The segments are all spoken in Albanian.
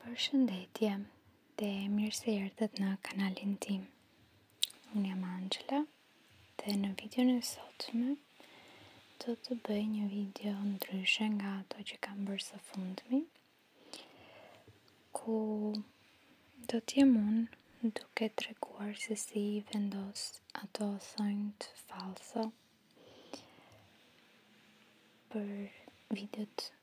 Për shëndetje dhe mirë se jertët në kanalin tim. Unë jam Angela dhe në video në sotme do të bëj një video ndryshe nga ato që kam bërë së fundmi ku do t'jem unë duke të reguar se si vendos ato thëngët falso për videot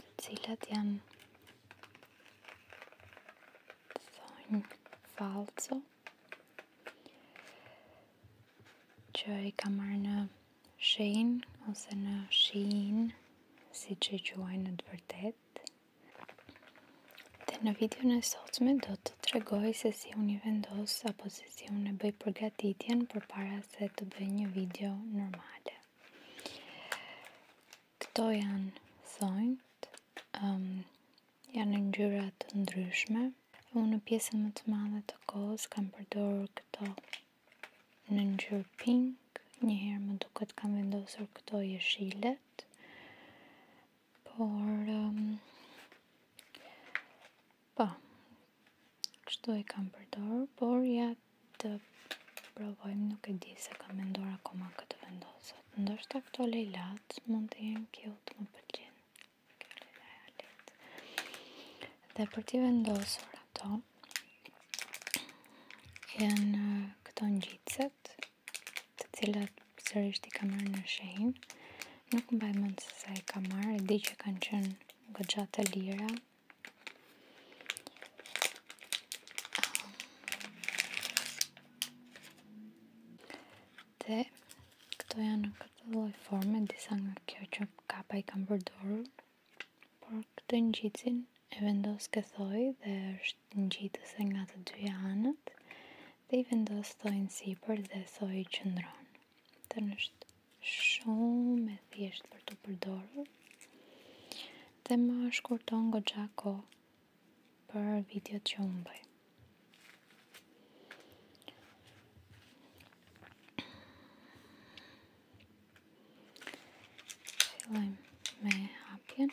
të cilat janë thonjë falco që i ka marrë në shen ose në shin si që i quaj në të vërtet dhe në video në sotme do të të tregoj se si unë i vendos apo se si unë e bëj përgatitjen për para se të bëj një video normale. Këto janë thonjt, um, janë në të ndryshme. Unë në pjesën më të madhe të kohës kam përdorë këto në njërë pink, njëherë më duket kam vendosur këto jeshilet, Por, po pa, qëto i kam përdorë, por ja të provojmë, nuk e di se kam mendor akoma këtë vendosët. ndoshta këto lejlatë mund të jenë kjo të më përgjën. Dhe për t'i vendosur ato, janë këto njitëset, të cilat sërish i kam në shenjë, Nuk mbaj më të sa i ka marrë, e di që kanë qënë gëgja të lira. Dhe këto janë në këtë loj forme, disa nga kjo që kapa i kam përdorur. Por këtë në gjitësin e vendos këthoj dhe është në nga të dy anët dhe i vendosë tojnë si për dhe thoi që ndronë të nështë shumë e thjesht për të përdorë dhe ma shkurton në gogja ko për video të që unë bëj Fillojmë me hapjen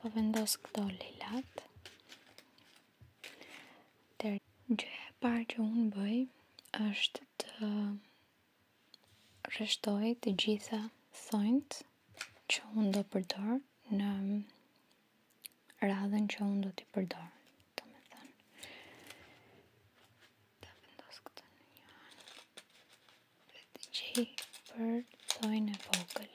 Po vendos këto lilat. Të gjë parë që unë bëj është të rreshtoj të gjitha thonjt që unë do përdor në radhën që unë do t'i përdor. për thojnë e vogël.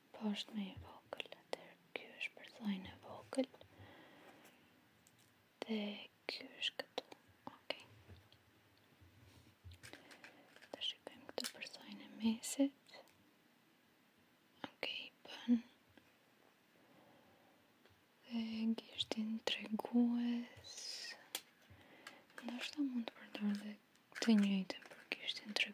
Po është me e vogël, atër kjo është për thajnë e vogël, dhe kjo është këtu, ok. Të shikëm këtu për e mesit, ok, i pënë, dhe kishtin të reguës, është mund të përdar dhe të njëjtën për gishtin të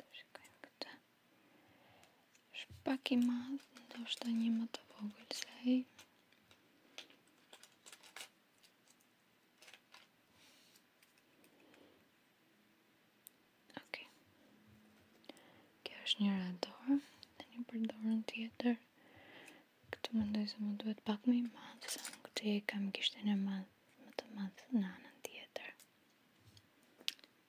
të shikojmë për të shpak i madhë ndo është ta një më të vogël që a kjo është një radar të një përdorën tjetër këtu më se më duhet pak me i madhë sa më këtë kam gishtin e madhë më të madhë në anë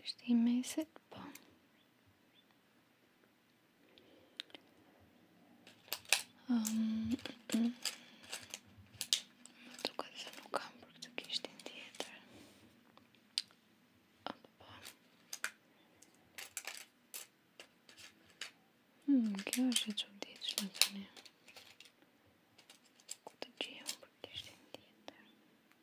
Kështi i meset, po. Më tukat mm, mm. se kam për këtë kishtin tjetër. po. Hmm, kjo është që u tjetështë në të nje. Këtë gjimë për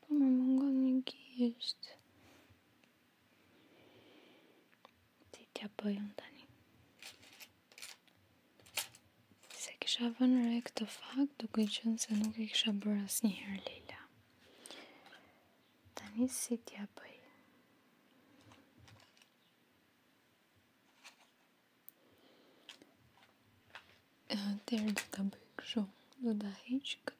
Po më mungon një gjisht. Ti t'ja bëjën tani. Se kisha e këtë fakt, duke qënë se nuk e kisha bërë asë njëherë Leila. Tani si t'ja bëjën. Tërë do të bëjë kështu, do t'a heqë këtë.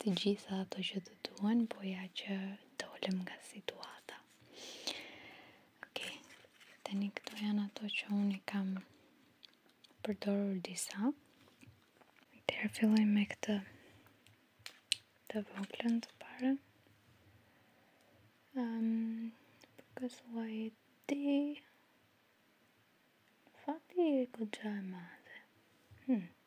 të gjitha ato që të duen, po ja që dolem nga situata. Okej, të një këto janë ato që unë i kam përdorur disa. Të e filloj me këtë të voglën të pare. Um, Kësë lojë ti... Fati e këtë gjaj madhe. Hmm.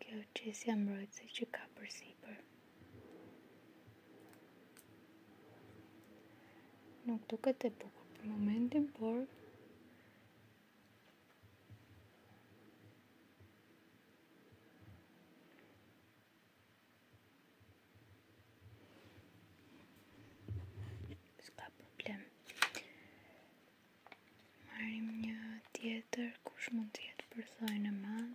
kjo qesja mbrojtëse që ka për sipër. Nuk duket e bukur për momentin, por s'ka problem. Marim një tjetër kush mund tjetë përthojnë e madhë.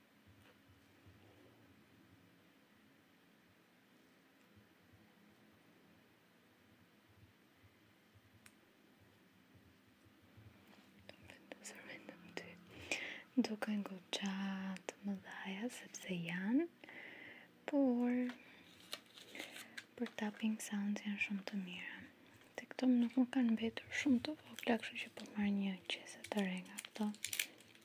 duke në goqa të më dhaja, sepse janë, por për tapping sounds janë shumë të mira. Të këto më nuk më kanë betur shumë të vogla, kështë që po marrë një qese të rengë këto.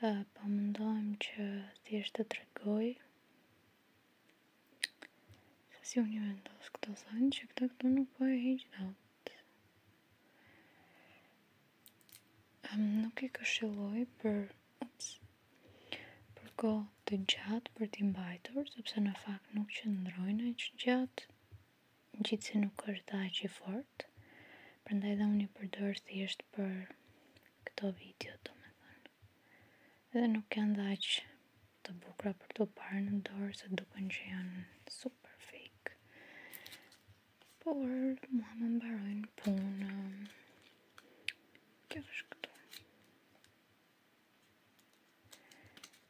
Pa po më që thjesht të tregoj Se si unë një vendos këto sanë që këto këto nuk po e hiqë në atë Nuk i këshiloj për Për ko të gjatë për ti mbajtur sepse në fakt nuk që ndrojnë e që gjatë në qitë nuk është dhe që fort, përndaj dhe unë i përdojrë si është për këto video të me thënë. Edhe nuk janë dhe që të bukra për të parë në dorë, se duken që janë super fake. Por, mua më mbarojnë punë, kjo është këtu.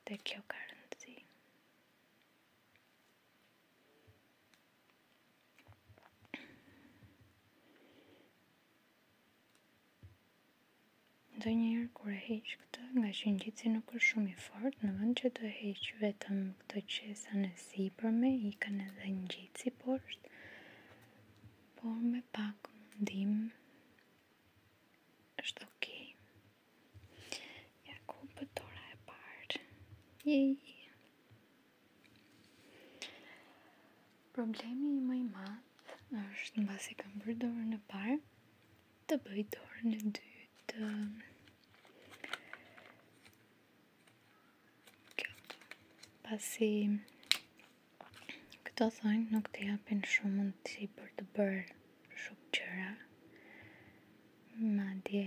Dhe kjo ka rëndësi. Dhe njerë kur e heqë këtë nga që një gjithë si nuk është shumë i fort, në vend që të heqë vetëm këtë qesa në si për me, i kënë edhe një gjithë si poshtë, por me pak mundim është okej. Ja ku pëtora e parë Jej. Problemi i më i madh është në basi kam bërë dorën e parë të bëj dorën e dytë. Kjo. Pasi këto thonë nuk të japin shumë mundësi për të bërë shumë qëra. Ma dje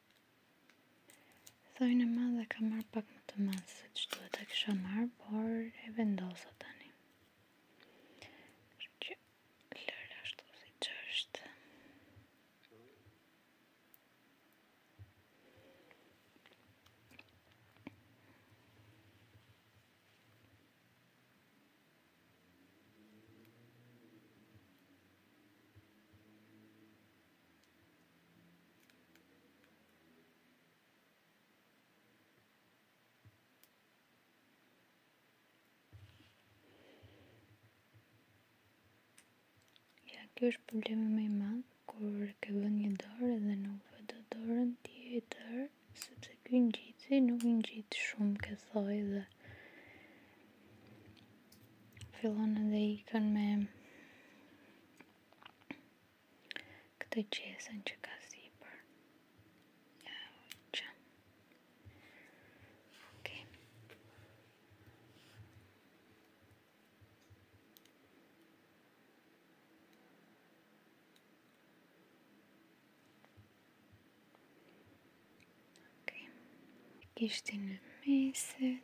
Thoj në ma dhe ka marrë pak më të ma se që duhet të kësha marrë, por e vendosa tani. Që lërë ashtu si që Kjo është probleme me i madhë, kur ke bë një dorë dhe nuk bë do dorën tjetër, sepse kjo një gjithë, nuk ngjit gjithë shumë këthoj dhe fillon edhe i kën me këtë qesën që ka sipër ja, që ok ok kishti në mesër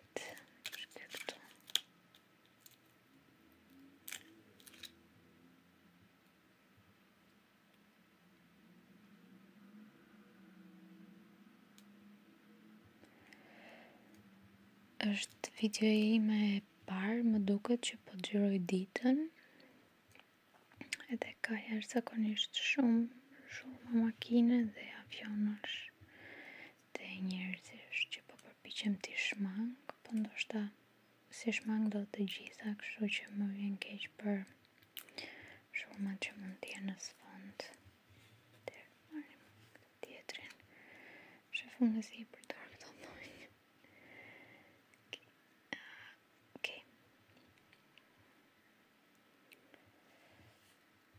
është video i me parë, më duket që po gjyroj ditën edhe ka jashtë zakonisht shumë shumë makine dhe avionash dhe njerëzish që po përpichem t'i shmang, po ndoshta si shmang do të gjitha, kështu që më vjen keq për shumë që mund t'i në sfond. Dhe marim tjetrin, shëfëm në i për dorë të dojnë. Okay.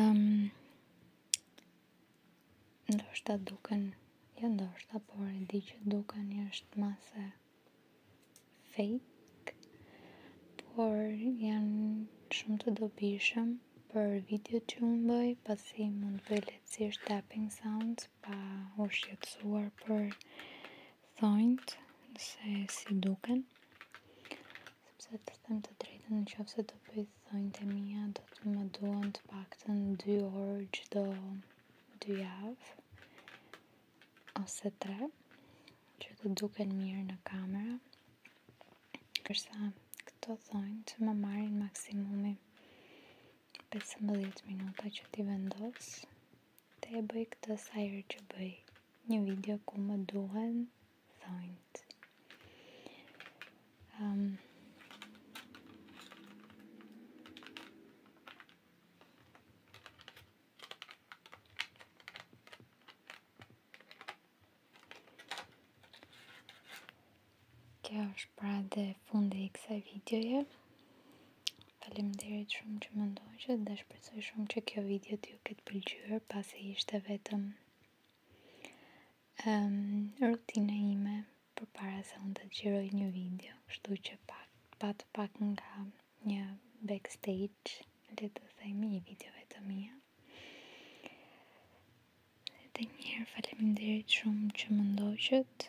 Um, ndoshta duken, jo ndoshta, por e di që duken një është masë fake, por janë shumë të dobishëm për video që unë bëj, pasi mund bëj letësirë tapping sounds, pa u shqetsuar për thonjt, nëse si duken. të të të të do 773 771 të întpactăn dy orë çdo dy javë ose 3 që të duken mirë në kamera. Kërsa këto thonë të më marrin maksimumi 15 minuta që t'i vendos. Te e bëj këtë sa herë që bëj një video ku më duhen thonjt. Um, kjo është pra dhe fundi i kësaj videoje. Falem të shumë që më ndoqët dhe shpresoj shumë që kjo video t'ju këtë pëlqyër pasi ishte vetëm um, rutina ime për para se unë të gjiroj një video shtu që pak, pat pak nga një backstage le të themi i videove të mija dhe njerë faleminderit shumë që më ndoqët